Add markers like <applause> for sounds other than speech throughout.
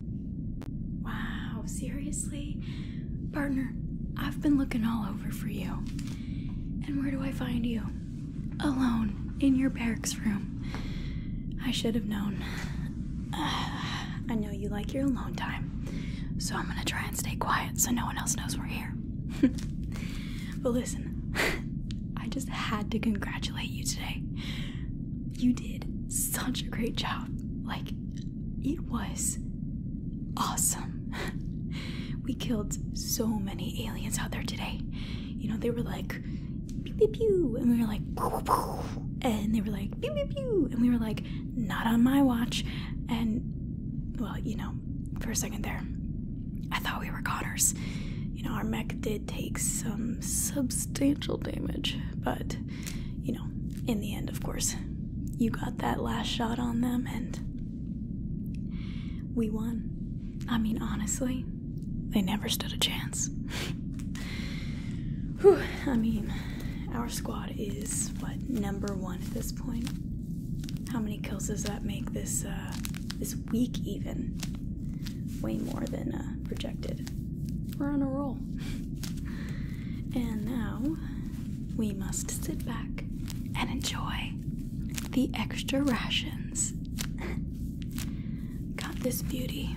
Wow, seriously? Partner, I've been looking all over for you. And where do I find you? Alone, in your barracks room. I should have known. <sighs> I know you like your alone time, so I'm gonna try and stay quiet so no one else knows we're here. <laughs> but listen, <laughs> I just had to congratulate you today you did such a great job. Like, it was awesome. <laughs> we killed so many aliens out there today. You know, they were like, pew pew and we were like, pew, pew, and they were like, pew pew, and we were like, not on my watch. And, well, you know, for a second there, I thought we were Connors. You know, our mech did take some substantial damage, but you know, in the end, of course, you got that last shot on them and we won. I mean, honestly, they never stood a chance. <laughs> Whew, I mean, our squad is what number one at this point. How many kills does that make this uh, this week even? Way more than uh, projected. We're on a roll. <laughs> and now we must sit back and enjoy the extra rations. <laughs> Got this beauty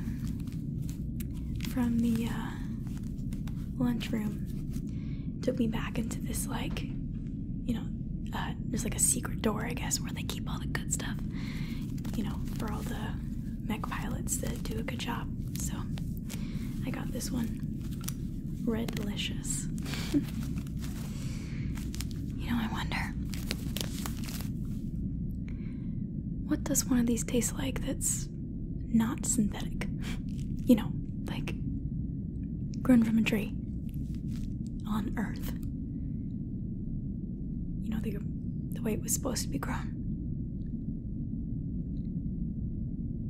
from the uh, lunchroom. Took me back into this, like, you know, uh, there's like a secret door, I guess, where they keep all the good stuff, you know, for all the mech pilots that do a good job. So I got this one. Red Delicious. <laughs> you know, I wonder what does one of these taste like that's not synthetic? <laughs> You know, like grown from a tree on earth. You know, the, the way it was supposed to be grown.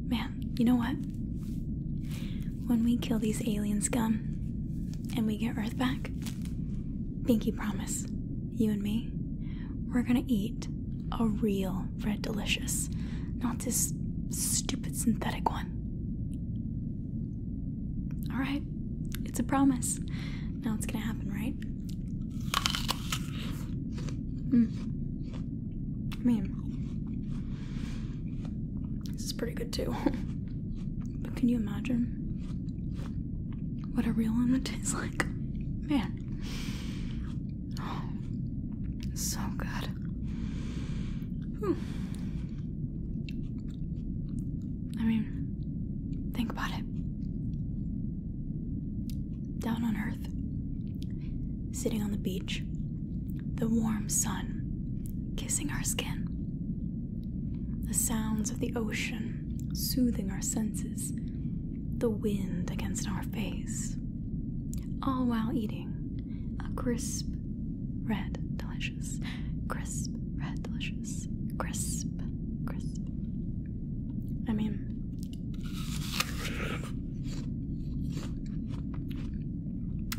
Man, you know what? When we kill these aliens, Gum, and we get Earth back, pinky promise, you and me, we're gonna eat a real Red Delicious, not this stupid synthetic one. Alright, it's a promise. Now it's gonna happen, right? Mm. I mean, this is pretty good too. <laughs> but can you imagine what a real one would taste like? Man. Oh, so good. I mean, think about it. Down on earth, sitting on the beach, the warm sun kissing our skin, the sounds of the ocean soothing our senses, the wind against our face, all while eating a crisp, red, delicious, crisp, red, delicious, crisp, crisp, I mean,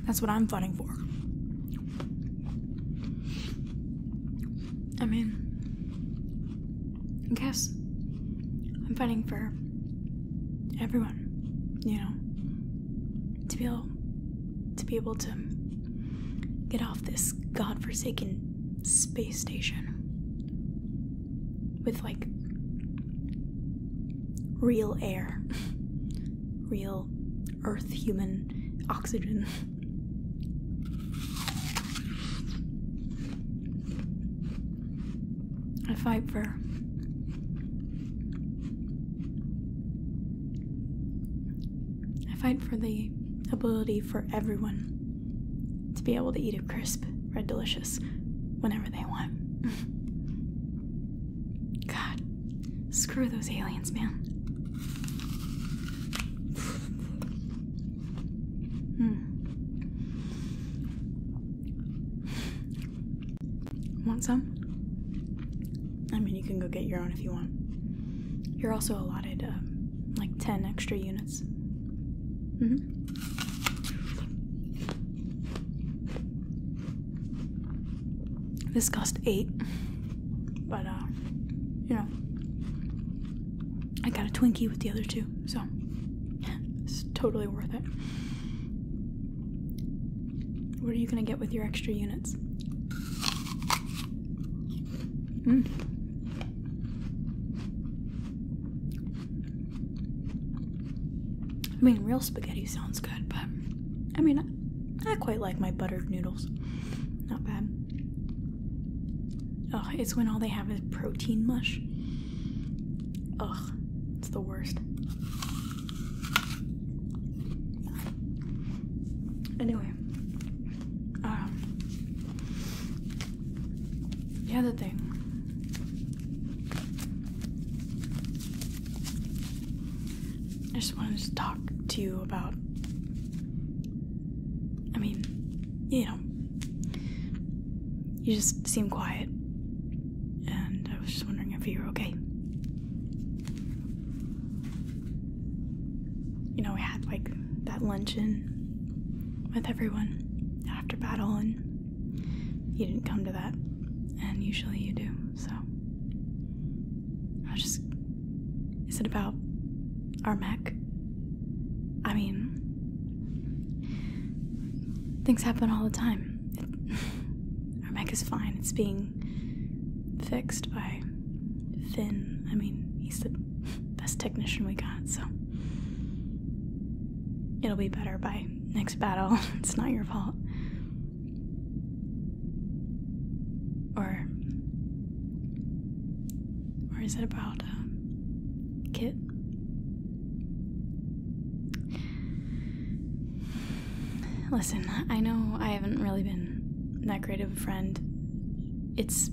that's what I'm fighting for. I mean, I guess I'm fighting for everyone, you know, to be able to be able to get off this godforsaken space station with like real air, <laughs> real earth human oxygen. I fight for I fight for the ability for everyone to be able to eat a crisp red delicious whenever they want. <laughs> God, screw those aliens, man. Hmm. Want some? I mean, you can go get your own if you want. You're also allotted um, like 10 extra units. -hmm. This cost eight, but uh, you know, I got a Twinkie with the other two, so it's totally worth it. What are you gonna get with your extra units? Mm. I mean, real spaghetti sounds good, but I mean, I, quite like my buttered noodles. Not bad. Ugh, it's when all they have is protein mush. Ugh, it's the worst. Anyway, um, the other thing. I just wanted to talk to you about. I mean, you know, you just seem quiet. And I was just wondering if you were okay. You know, we had like that luncheon with everyone after battle, and you didn't come to that, and usually you do, so. I just. Is it about our mech? I mean, things happen all the time. It, <laughs> our mech is fine, it's being fixed by Finn. I mean, he's the best technician we got, so it'll be better by next battle. <laughs> it's not your fault. Or or is it about uh, Kit? Listen, I know I haven't really been that great of a friend. It's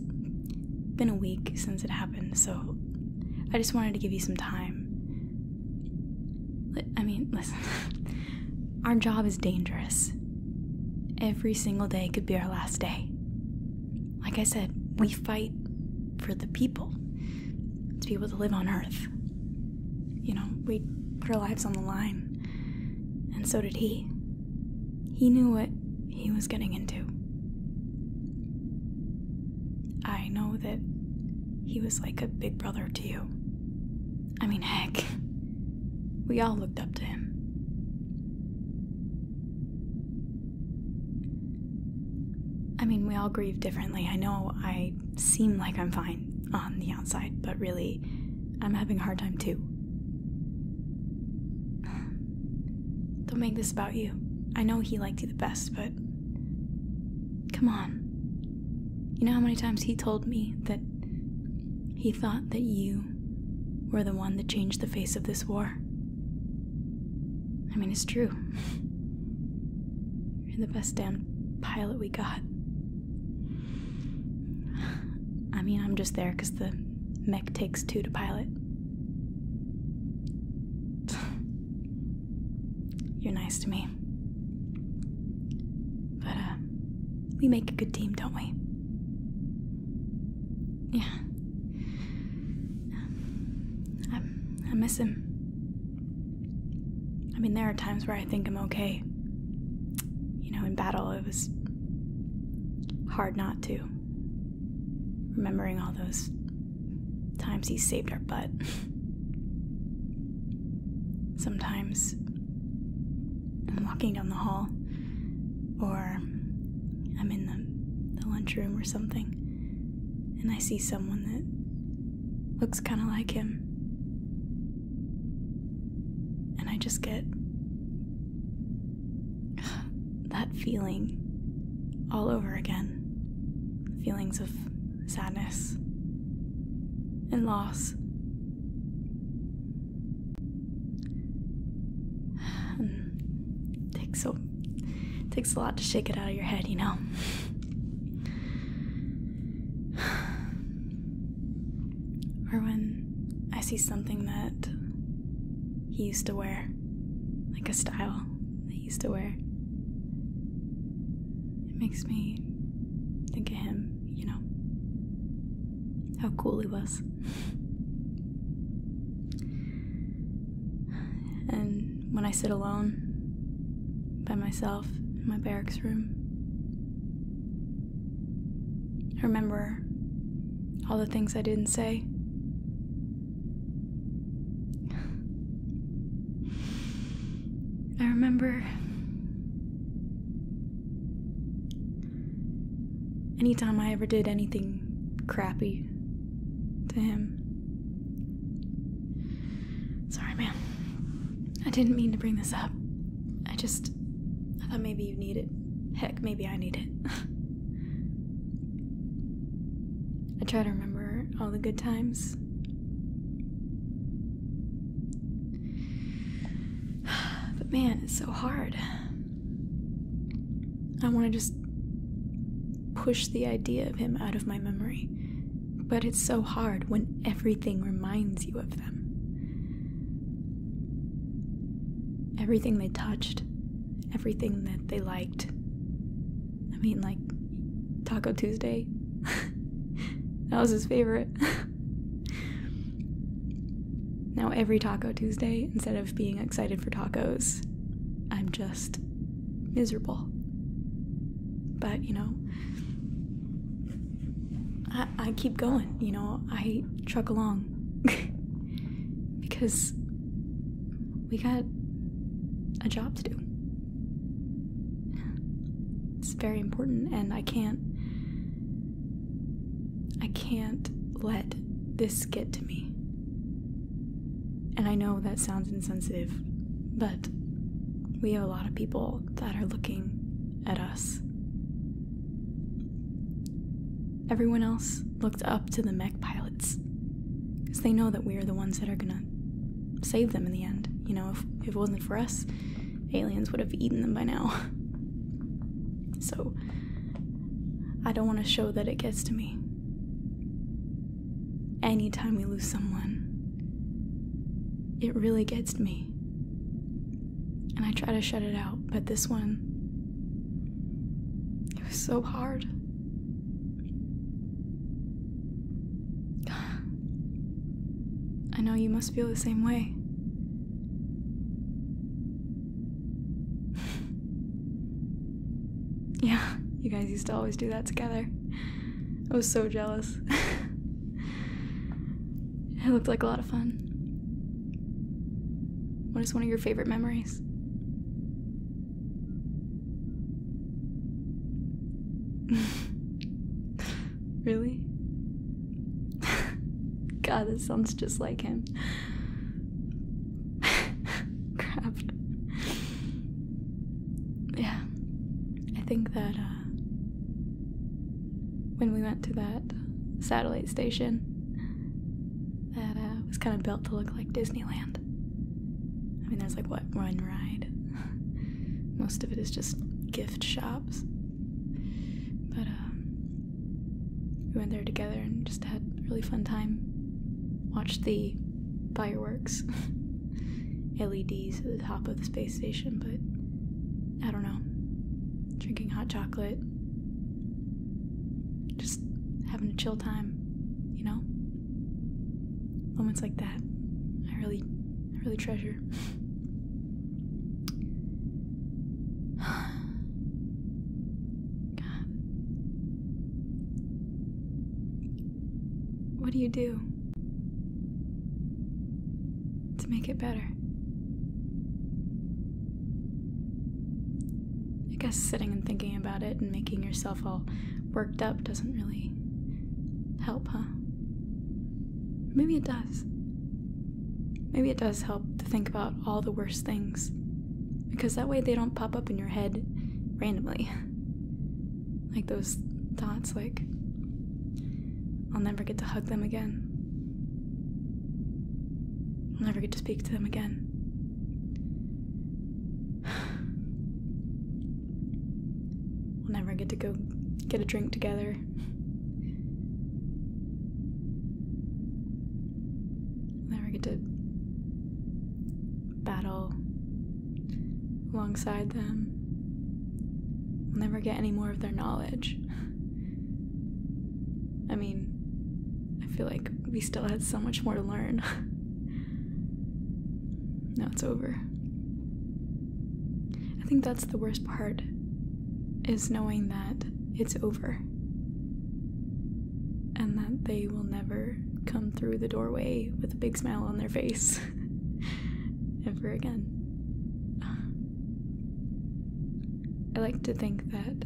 been a week since it happened, so I just wanted to give you some time. I mean, listen, <laughs> our job is dangerous. Every single day could be our last day. Like I said, we fight for the people to be able to live on Earth. You know, we put our lives on the line, and so did he. He knew what he was getting into. I know that he was like a big brother to you. I mean, heck, we all looked up to him. I mean, we all grieve differently. I know I seem like I'm fine on the outside, but really, I'm having a hard time too. <sighs> Don't make this about you. I know he liked you the best, but. Come on. You know how many times he told me that he thought that you were the one that changed the face of this war? I mean, it's true. <laughs> You're the best damn pilot we got. <sighs> I mean, I'm just there because the mech takes two to pilot. You're nice to me. But, uh, we make a good team, don't we? Yeah. I, I miss him. I mean, there are times where I think I'm okay. You know, in battle, it was hard not to remembering all those times he saved our butt. Sometimes, I'm walking down the hall, or I'm in the, lunchroom or something, and I see someone that looks kind of like him. And I just get that feeling all over again feelings of sadness and loss. takes so takes a lot to shake it out of your head, you know. <sighs> or when I see something that he used to wear, like a style that he used to wear. It makes me think of him, you know, how cool he was. and when I sit alone by myself in my barracks room, I remember all the things I didn't say. I remember anytime I ever did anything crappy to him. Sorry, man. I didn't mean to bring this up. I just. I thought maybe you needed maybe I need it. <laughs> I try to remember all the good times. <sighs> But man, it's so hard. I want to just push the idea of him out of my memory. But it's so hard when everything reminds you of them. Everything they touched, everything that they liked. I mean, like Taco Tuesday. <laughs> that was his favorite. <laughs> now, every Taco Tuesday, instead of being excited for tacos, I'm just miserable. But, you know, I, I keep going, you know, I truck along. <laughs> because we got a job to do. It's very important, and I can't. I can't let this get to me. And I know that sounds insensitive, but we have a lot of people that are looking at us. Everyone else looked up to the mech pilots because they know that we are the ones that are gonna save them in the end. You know, if, it wasn't for us, aliens would have eaten them by now. <laughs> so, I don't want to show that it gets to me. Anytime we lose someone, it really gets to me. And I try to shut it out, but this one it was so hard. I know you must feel the same way. yeah, you guys used to always do that together. I was so jealous. <laughs> it looked like a lot of fun. What is one of your favorite memories? <laughs> really? <laughs> God, this sounds just like him. <laughs> Crap. Yeah. I think that, uh, when we went to that satellite station, that uh, was kind of built to look like Disneyland. I mean, there's like what one ride. <laughs> Most of it is just gift shops. But um, we went there together and just had a really fun time. Watched the fireworks, LEDs <laughs> at the top of the space station, but I don't know. Drinking hot chocolate, just having a chill time, you know? Moments like that, I really, really treasure. <sighs> God. What do you do to make it better? I guess sitting and thinking about it and making yourself all worked up doesn't really help, huh? Maybe it does. Maybe it does help to think about all the worst things because that way they don't pop up in your head randomly. <laughs> like those thoughts, like, I'll never get to hug them again. I'll never get to speak to them again. we'll never get to go get a drink together. We'll never get to battle alongside them. We'll never get any more of their knowledge. I mean, I feel like we still had so much more to learn. <laughs> now it's over. I think that's the worst part is knowing that it's over and that they will never come through the doorway with a big smile on their face <laughs> ever again. I like to think that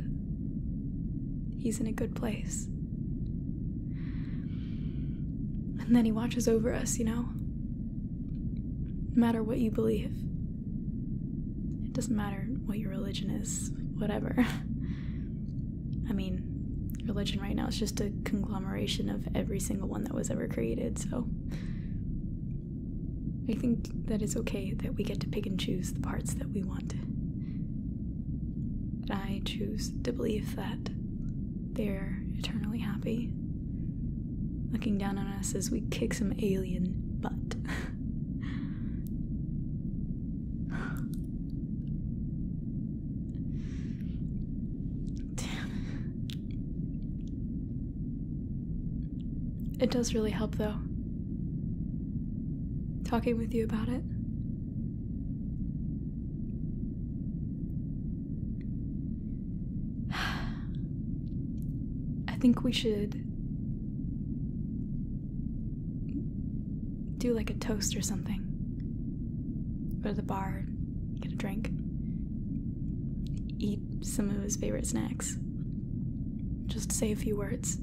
he's in a good place. And then he watches over us, you know? No matter what you believe, it doesn't matter what your religion is, whatever. <laughs> I mean, religion right now is just a conglomeration of every single one that was ever created, so I think that it's okay that we get to pick and choose the parts that we want. I choose to believe that they're eternally happy, looking down on us as we kick some alien butt. Damn. It does really help, though. Talking with you about it. <sighs> I think we should do like a toast or something. Go to the bar, get a drink, eat some of his favorite snacks just say a few words.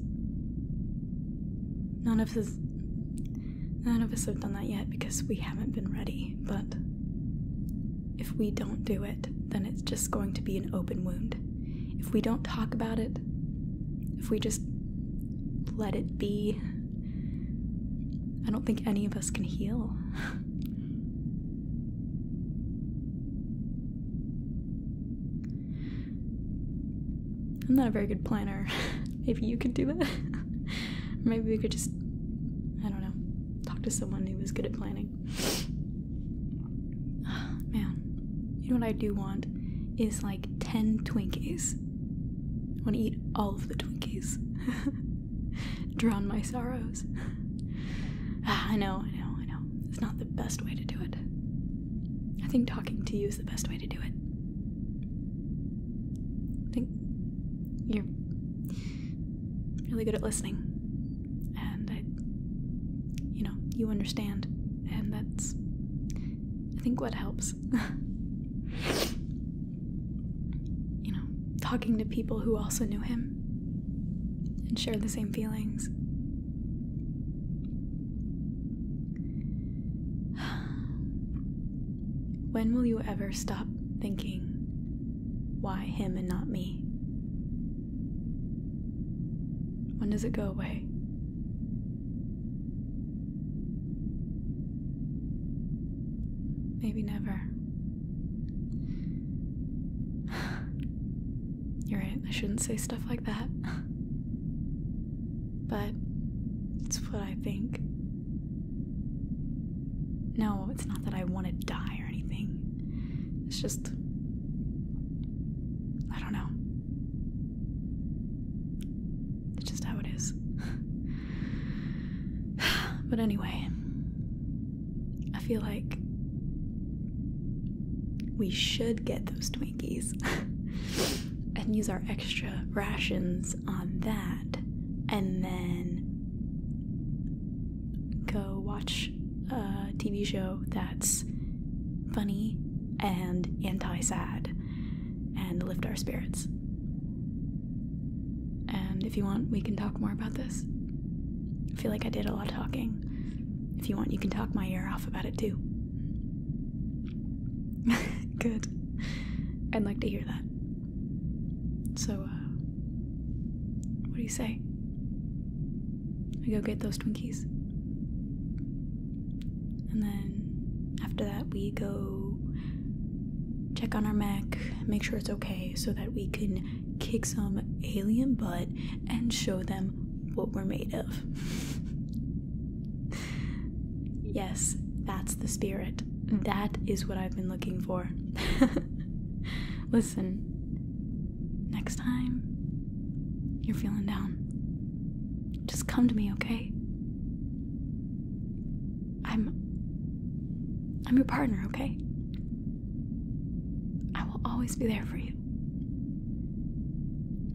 None of us none of us have done that yet because we haven't been ready, but if we don't do it, then it's just going to be an open wound. If we don't talk about it, if we just let it be, I don't think any of us can heal. <laughs> I'm not a very good planner. <laughs> Maybe you could do that. <laughs> maybe we could just, I don't know, talk to someone who is good at planning. <sighs> man, you know what I do want is like 10 Twinkies. I want to eat all of the Twinkies. <laughs> Drown my sorrows. <sighs> Ah, I know, I know, I know. It's not the best way to do it. I think talking to you is the best way to do it. I think you're really good at listening, and I, you know, you understand, and that's, I think, what helps. <laughs> you know, talking to people who also knew him and shared the same feelings when will you ever stop thinking, why him and not me? When does it go away? Maybe never. You're right, I shouldn't say stuff like that. <laughs> but it's what I think. No, it's not that I want to die or anything. It's just. I don't know. It's just how it is. <sighs> but anyway, I feel like we should get those Twinkies <laughs> and use our extra rations on that, and then go watch a TV show that's funny and anti sad and lift our spirits. And if you want, we can talk more about this. I feel like I did a lot of talking. If you want, you can talk my ear off about it too. <laughs> Good. I'd like to hear that. So, uh, what do you say? I go get those Twinkies. And then after that, we go check on our Mac, make sure it's okay, so that we can kick some alien butt and show them what we're made of. yes, that's the spirit. That is what I've been looking for. <laughs> Listen, next time you're feeling down, just come to me, okay? I'm I'm your partner, okay? I will always be there for you.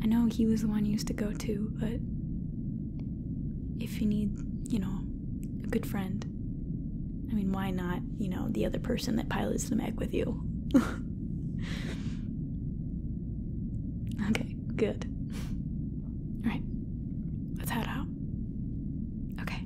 I know he was the one you used to go to, but if you need, you know, a good friend, I mean, why not, you know, the other person that pilots the mech with you? <laughs> okay, good. Alright, let's head out. Okay.